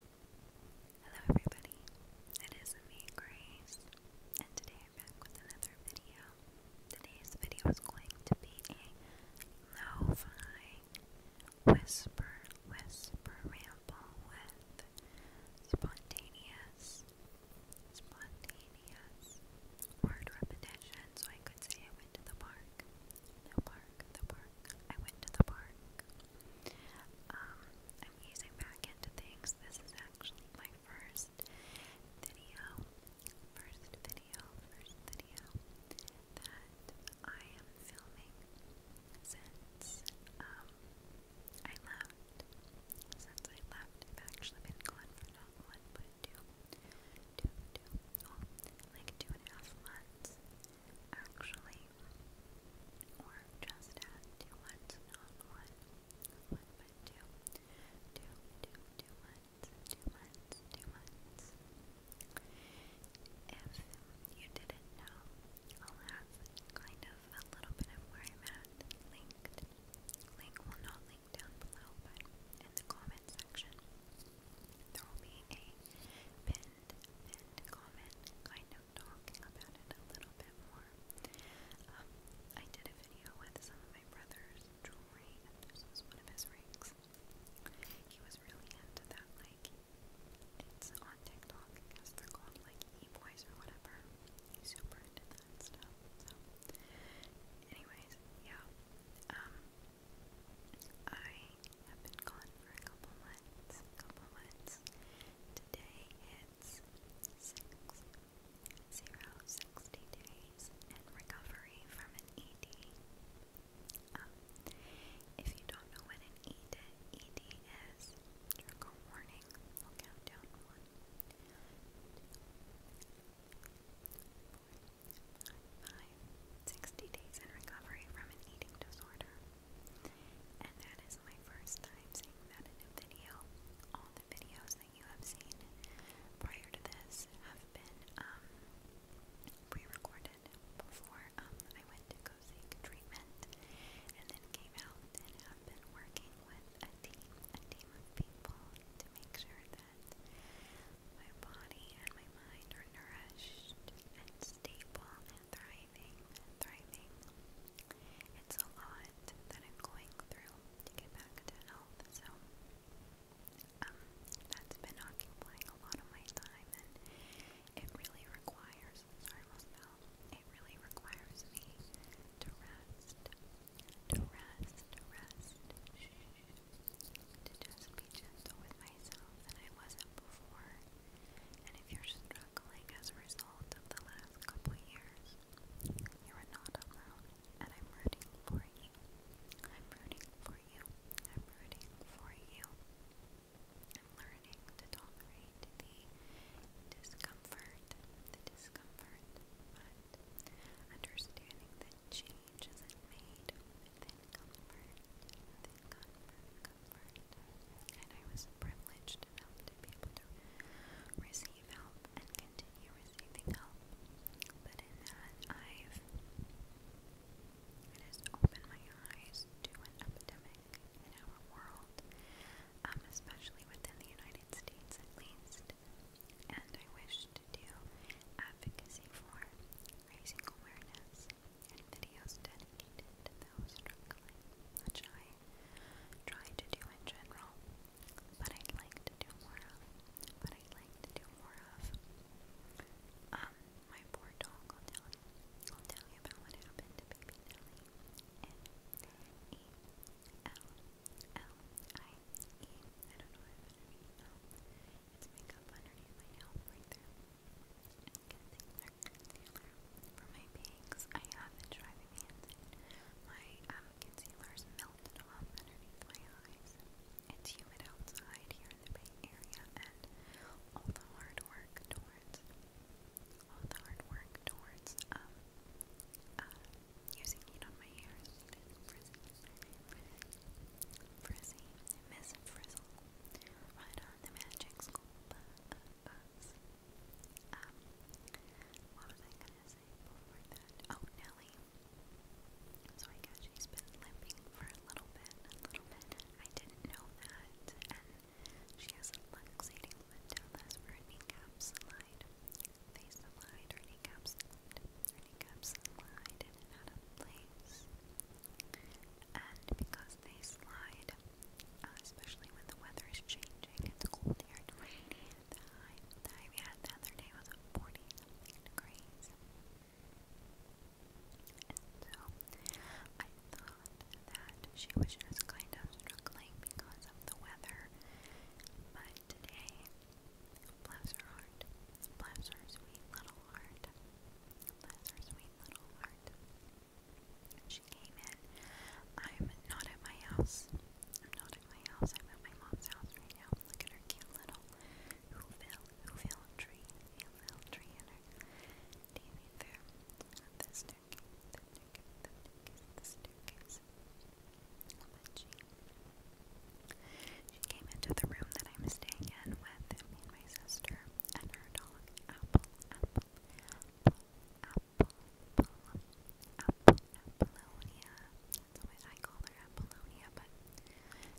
Hello everybody, it is me, Grace, and today I'm back with another video. Today's video is going to be a lo-fi whisper, whisper ramble with spontaneous, spontaneous word repetition. So I could say I went to the park, the park, the park, I went to the park. Um, I'm easing back into things. This is actually my first video, first video, first video that I am filming since um, I left. Since I left, I've actually been gone for not one oh, like two and a half months. Actually, time, If you didn't know, I'll have kind of a little bit of where I'm at linked. Link will not link down below, but in the comment section. There will be a and comment, kind of talking about it a little bit more. Um, I did a video with some of my brother's jewelry, and this was one of his rings. He was really into that, like, it's on TikTok, I guess like, e-boys or whatever. He's super into that stuff, so. Anyways, yeah, um, I have been gone for a couple months compliments, compliments. Today it's six zero sixty days and recovery from an ED. Um, if you don't know what an ED, ED is, trigger warning. I'll days in recovery from an eating disorder. And that is my first time seeing that in a video. All the videos that you have seen prior to this have been um, pre-recorded before um, I went to go seek treatment and then came out and have been working with a team, a team of people to make sure that my body and my mind are nourished and stable thriving, thriving. It's a lot that I'm going through to get back to health, so um, that's been occupying a lot of my time, and it really requires, sorry, my spell, it really requires me to rest, to rest, to rest, to just be gentle with myself, and I wasn't before. And if you're struggling as a result of the last couple years, you are not alone, and I'm rooting for you. I'm rooting for you. I'm rooting for you. I'm learning to tolerate the discomfort, the discomfort, understanding that change isn't made within comfort, comfort, and I was privileged to be able to receive help and continue receiving help. But in that, I've it opened my eyes to an epidemic in our world, um, especially within the United States, at least. And I wish to advocacy for raising awareness and videos dedicated to those struggling, which I try to do in general, but I'd like to do more of. But I'd like to do more of. Um, my poor dog will tell you, will tell you about what happened to baby Nelly. It's makeup underneath my nail right there. Concealer, concealer. For my bangs, I have driving me My concealer's melted off underneath my eyes. It's humid outside here in the Bay Area, and all the hard work towards, all the hard work towards, um, uh, using heat on my hair, frizzy, frizzy, frizzy, miss frizzle. Ride on the magic school bus. Um, what was I gonna say Oh, Nelly. So I guess she's been limping for a little bit, a little bit. I didn't know that. And she has a luxating mandalas for a kneecap slide. Face slide, her kneecap slide. Her kneecap in and out of place. And because they slide, uh, especially when the weather is changing, it's cold here and rainy. The high, the high we had the other day was 40 something degrees. And so I thought that she was just kind of struggling because of the weather. But today, bless her heart, bless her sweet little heart. Bless her sweet little heart. She came in. I'm not at my house. I'm not at my house. I'm at my mom's house right now. Look at her cute little Whoville, Whoville tree. Whoville tree in her TV there. At the staircase, the staircase, the staircase, the she came into the room that I'm staying in with me and my sister and her dog, Apple, Apple, Apple, Apple, Apple, Apollonia. That's what I call her Apollonia, but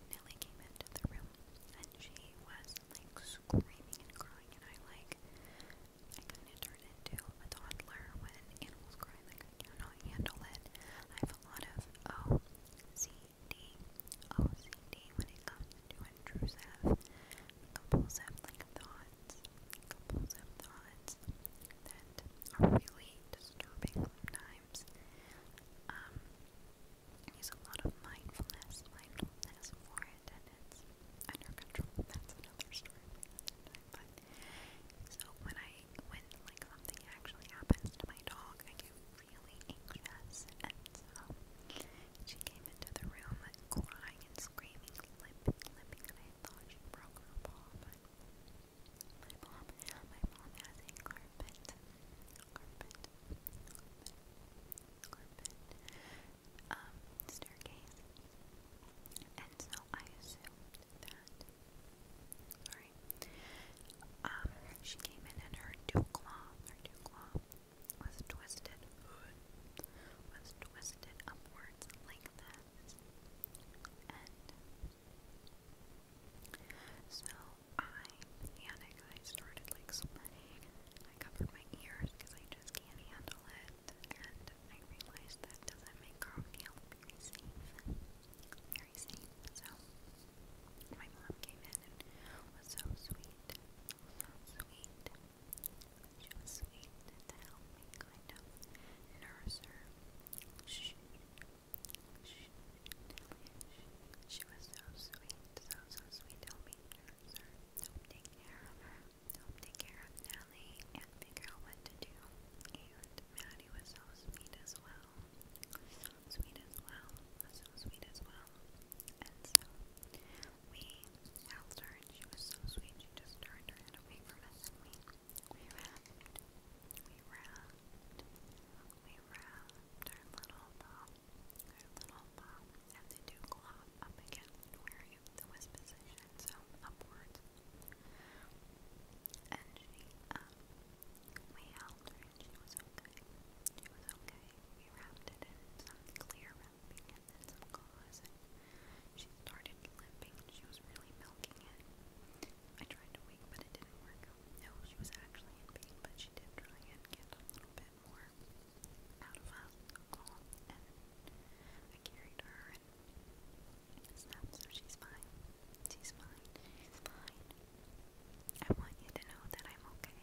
Nelly came into the room and she was like screaming and crying and I like I kind of turned into a toddler when animals cry, like I cannot handle it. I have a lot of O C OCD, OCD when it comes to intrusive, compulsive thoughts, compulsive thoughts that are really disturbing sometimes. Um, I use a lot of mindfulness, mindfulness for and it's under control. That's another story so when I when like something actually happens to my dog, I get really anxious, and so um, she came into the room crying and screaming, limping, limping, and I thought she broke her paw, but my mom, my mom has carpet, carpet, carpet, carpet, um, staircase, and so I assumed that um, she came in and her two claw, her dew claw was twisted, was twisted upwards like this. so I panic. I started like I covered my ears because I just can't handle it. And I realized that doesn't make her feel safe very same. So my mom came in and was so sweet, so sweet. She sweet to help me kind of nurse her. She, she, she was so sweet, so so sweet help me nurse her, help take care of her, help take care of Nellie, and figure out what to do. Maddie was so sweet as well. sweet as well. So sweet as well. And so we helped her and she was so sweet. She just turned her head away from us we, we We wrapped. We wrapped our little paw. little paw and the dew claw up against where it was positioned. So upwards and she, um, we helped and she was okay. She was okay. We wrapped it in some clear wrapping and some gauze and she started limping. She was really milking it. I tried to wake, but it didn't work. No, she was actually in pain, but she did try and get a little bit more out of us And I carried her and snapped, so she's fine. She's fine. She's fine. I want you to know that I'm okay.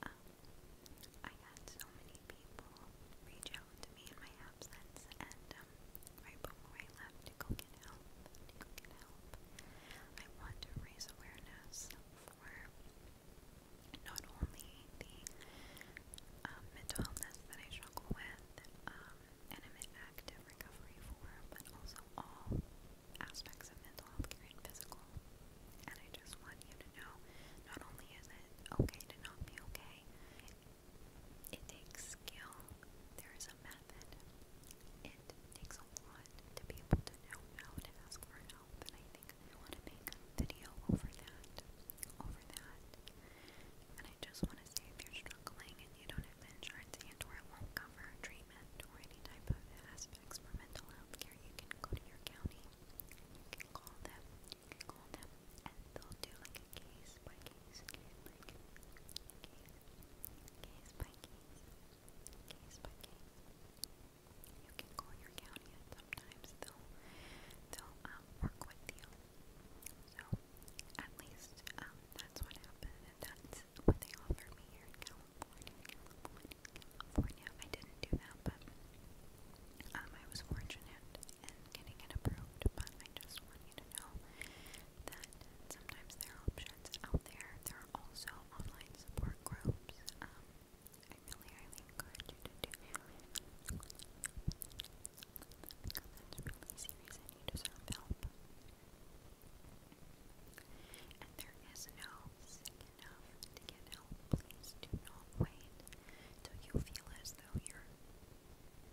Um, I had so many people reach out to me in my absence, and um, right before I left to go get help, to go get help, I want to raise awareness for not only the um, mental illness that I struggle with, um, and I'm active recovery for, but also all aspects of mental health care and physical. And I just want you to know not only is it okay to not be okay, it takes skill, there is a method. It takes a lot to be able to know how to ask for help, and I think I want to make a video over that, over that. I just want to say if you're struggling and you don't have insurance and or it won't cover treatment or any type of aspects health care, you can go your county, you can call them, you can call them, and they'll do like case by case, case by case, case by case, You can call your county and sometimes they'll, they'll um, work with you. So at least, um, that's what happened, that's what they offered me here in California, California, I didn't do that, but, um, I was fortunate in getting it approved, but I just want you to know that sometimes there are options out there. There are also online support groups, um, I really highly encourage you to do that's really serious and you deserve help. And there is no sick enough to get help. Please do not wait till you feel as though you're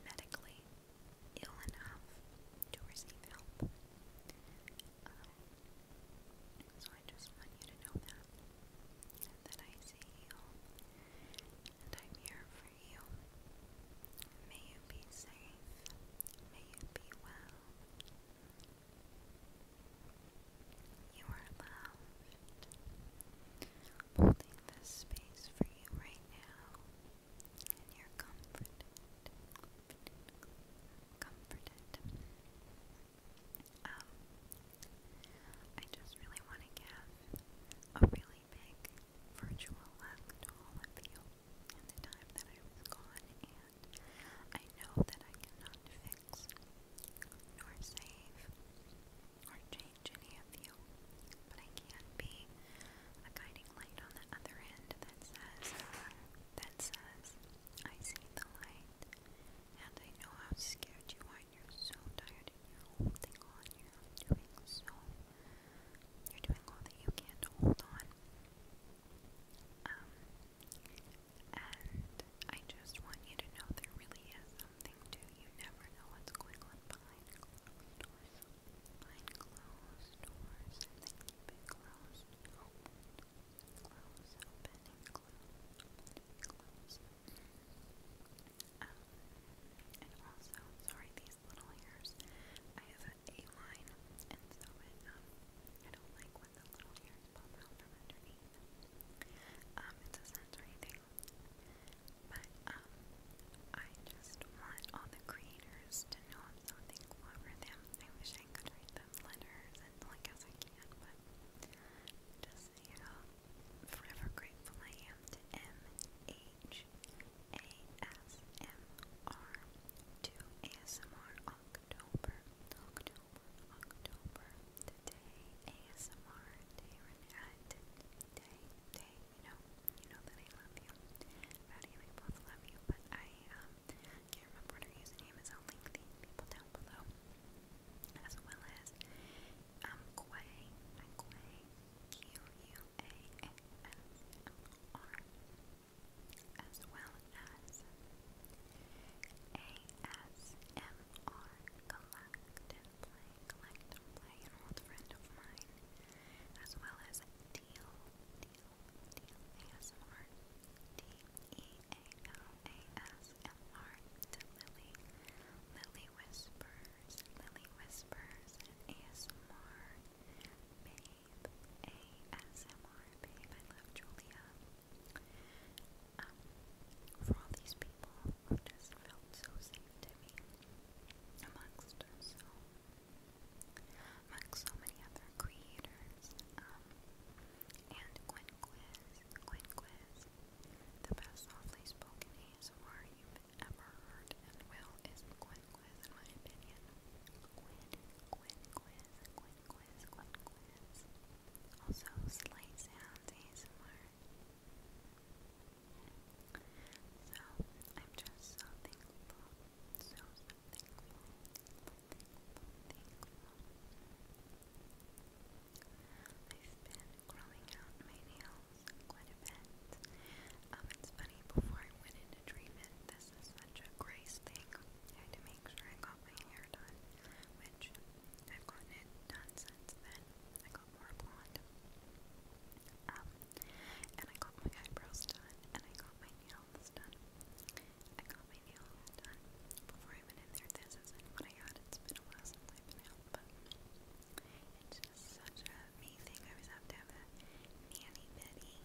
medically ill enough to receive help. so I just want you to know that, that I see you, and I'm here for for you. May you be safe. May you be well. You are loved. Holding this space for you right now. And you're comforted. Comforted. comforted. Um, I just really want to give a really really big virtual lactol in the time that I was gone, and I know that I cannot fix, nor save, or change any of you, but I can be a guiding light on the other end that says, that says, I see the light, and I know how scared you are, you're so tired, and you're holding on, you're doing so you're doing all that you can to hold on. Um, and I just want you to know there really is something to you. Never know what's going on behind closed doors. Behind closed doors, and then keep it closed, open, um, and also, sorry, these his little ears. I have A-line, and so it, um, I don't like when the little ears pop out from underneath. Um, it's a sensory thing. But, um, I just want all the creators to know i for them. I wish I could write them letters, and I guess I can, but just, you know, forever grateful I am. M-H-A-S-M-R to ASMR October, October, October, today, ASMR, day, day, day, day, you know, you know that I love you, Maddie and I both love you, but I, can't remember what her username is, link the people down below, as well as, um, Quay, I Quay, Q-U, ASMR, as well as ASMR Collect and Play, Collect and Play, an old friend of mine, as well as Deal, Deal, Deal to Lily, Lily Lily Whispers, Lily Whispers, Babe, ASMR, Babe, I love Julia. Um, for all these people who just felt so safe to me amongst so, amongst so many other creators, um, and Gwen Quiz, the best softly spoken ASMR you ever heard, and Will is the in my opinion. Gwen, Gwen Quiz, Gwen Also, Slight Sounds ASMR. So, I'm just so thankful, so, so thankful. I've been growing out my nails quite a bit. Um, it's funny, before I went into treatment, this is such a grace thing. I had to make sure I got my hair done, which I've it done since then. I got more blonde. Um, and I got my eyebrows done, and I got my nails done. I got my nails done before I went in there. This isn't I had. It's been a while since I've been out, but such a I always have to have a nanny bitty.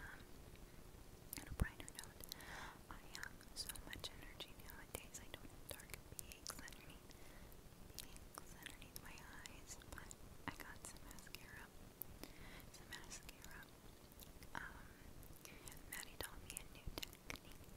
Um, on a brighter note, I have so much energy nowadays. I don't have dark peaks underneath, peaks underneath my eyes, but I got some mascara. Some mascara. Um, Maddie taught me a new technique for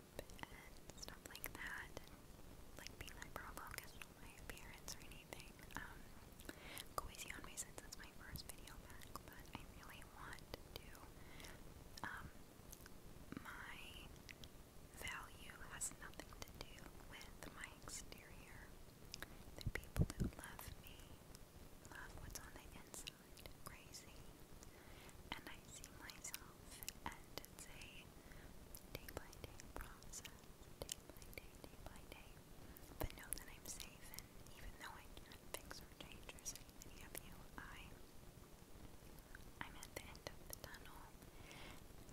and stuff like that, like being hyper-focused on my appearance or anything. Cozy um, on me since my first video but I really want to um, my value has nothing to do with my exterior. The people who love me love what's on the inside. Crazy. And I see myself it's a day process, day by But know that I'm safe, and even though I can't fix or change or I, am at the end of the tunnel,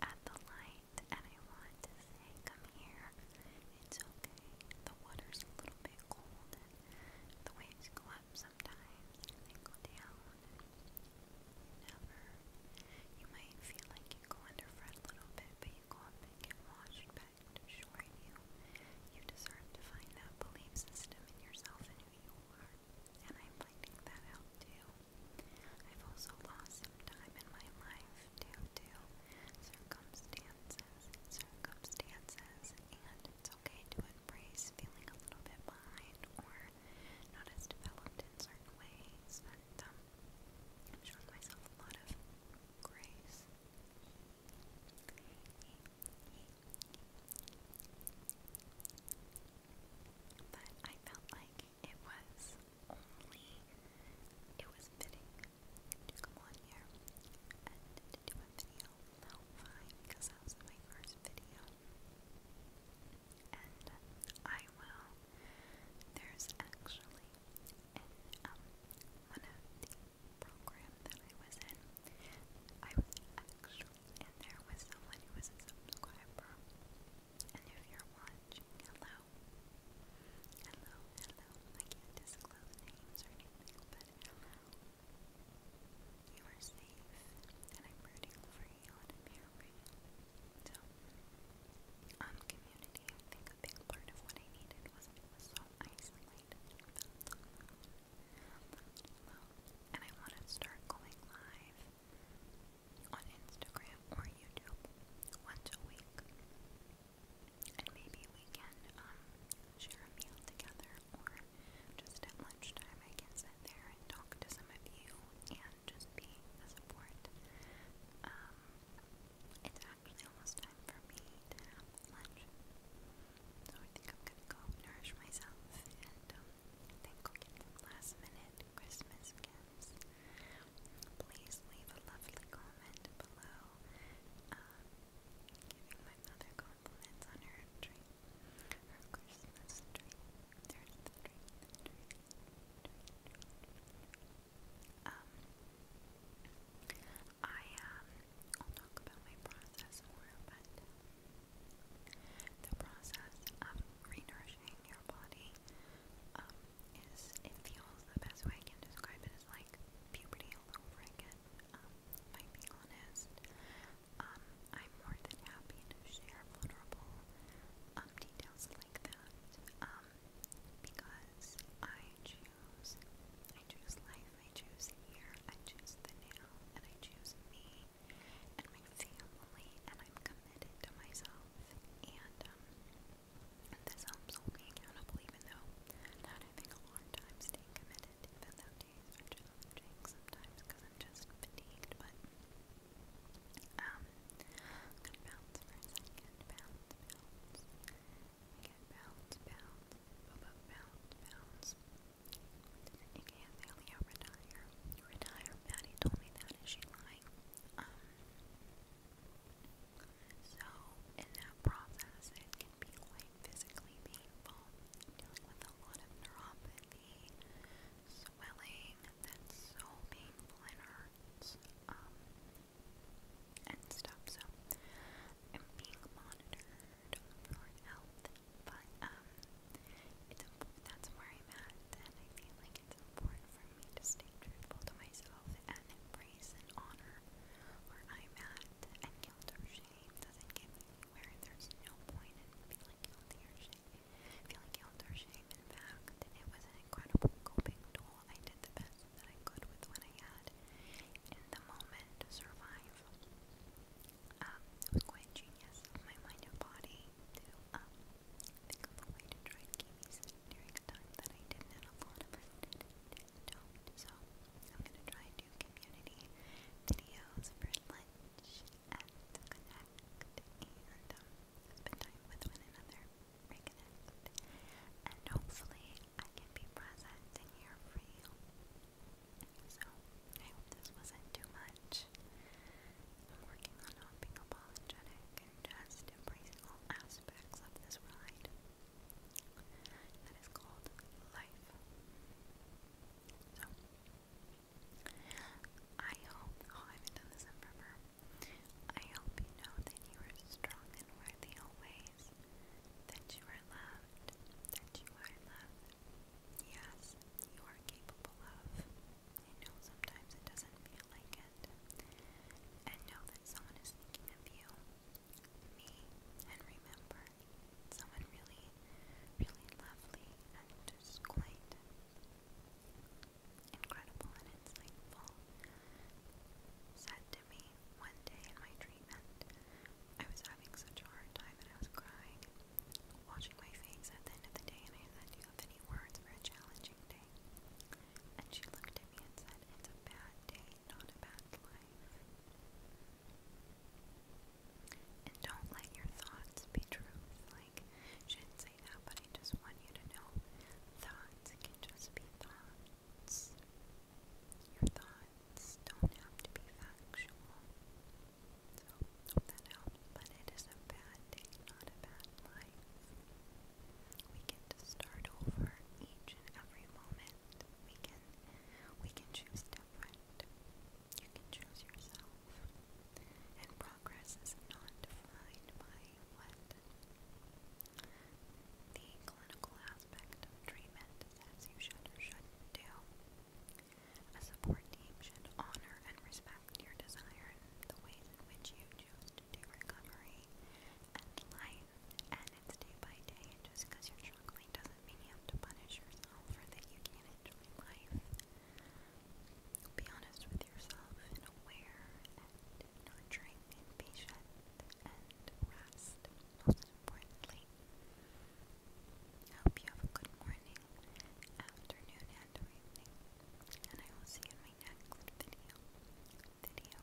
at the light, and I want to say, come here, it's okay. The water's a little bit cold, and the waves go up sometimes, and they go down, Never. You might feel like you go under for a little bit, but you go up and get washed back to shore in you. You deserve to find that belief system in yourself and who you are. And I'm finding that out too. I've also lost some time in my life due to circumstances, circumstances, and okay to embrace feeling a little bit behind or not as developed in certain ways, but um, I'm myself a lot of grace. But I felt like it was only, it was fitting to come on here and do a video about mine because that was my first video and I will. There's actually in um, one of the program that I was in, I was actually in there with someone who was a subscriber. And if you're watching, hello. Hello, hello. I can't disclose names or anything, but you are safe, and I'm rooting for you, and here for you. So, um, community, I think a big part of what I needed was I was so And I want to start going live on Instagram or YouTube once a week. And maybe we can um, share a meal together or just at lunchtime I can sit there and talk to some of you and just be a support. Um, it's actually almost time for me to have lunch, so I think I'm gonna go nourish myself and um, think i some last minute Christmas gifts. Please leave a lovely comment below. Um, my mother compliments on I will talk about my process more, but um, the process of renourishing your body um, is it feels the best way I can describe it is like puberty all over again it, um, honest. I'm more than happy to share vulnerable um, details like that, um, because I choose, I choose life, I choose here, I choose the now, and I choose me and my family, and I'm committed to myself, and, um, this helps hold me even though not having a long time staying committed, even though days are sometimes because I'm just fatigued, but um, bounce for a second, bounce, bounce, again, bounce, bounce, bounce, bounce, bounce, again, Thalia, retire, retire, Patty told me that, is she lying? Um, so, in that process, it can be physically painful, dealing with a lot of neuropathy, swelling that's so painful and hurts, um, and stuff. So I'm being monitored for health, but um, that's where I'm at, and I feel it's important for me to stay truthful to myself and embrace and honor where I'm at, and guilt or shame doesn't give me where there's no point in feeling guilty or shame, feeling guilt or shame. In fact, it was an incredible coping tool. I did the best that I could with what I had in the moment to survive. Um, it was quite genius of my mind and body to um, think of a way to try and keep me safe during a time that I didn't, and a lot of us So, I'm going to try and do community videos for lunch and connect and um, spend time with another, reconnect, and hopefully I can be present here for you. So, I hope this wasn't too much. I'm working on not being apologetic just embracing all aspects of this ride that is called life. So, I hope, oh, I haven't done this in I hope you know that you are strong and worthy always, that you are loved, that you are loved. Yes, you are capable of. I know sometimes it doesn't feel like it. And know that someone is thinking of you, me, and remember someone really, really lovely and just quite incredible and insightful said to me one day in my treatment, I was having such a hard time and I was crying, washing my face at the end of the day, and I said, Do you have any words for a challenging day? And she looked at me and said, It's a bad day, not a bad life. And don't let your thoughts be truth. Like, shouldn't say that, but I just want you to know thoughts can just be thoughts. Your thoughts don't have to be factual. So, hope that But it is a bad day, not a bad life. We get to start over each and every moment. We can, we can choose you can yourself. And progress is not defined by what the clinical aspect of treatment says you should or should do. A support team should honor and respect your desire the ways in which you choose to do recovery and life, and it's day by day. Just because you struggling doesn't does you to punish yourself or that you can't enjoy life. Be honest with yourself and aware and nurturing and patient and rest, most importantly. I hope you have a good morning, afternoon, and evening. And I will see you in my next video. Video.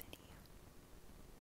Video.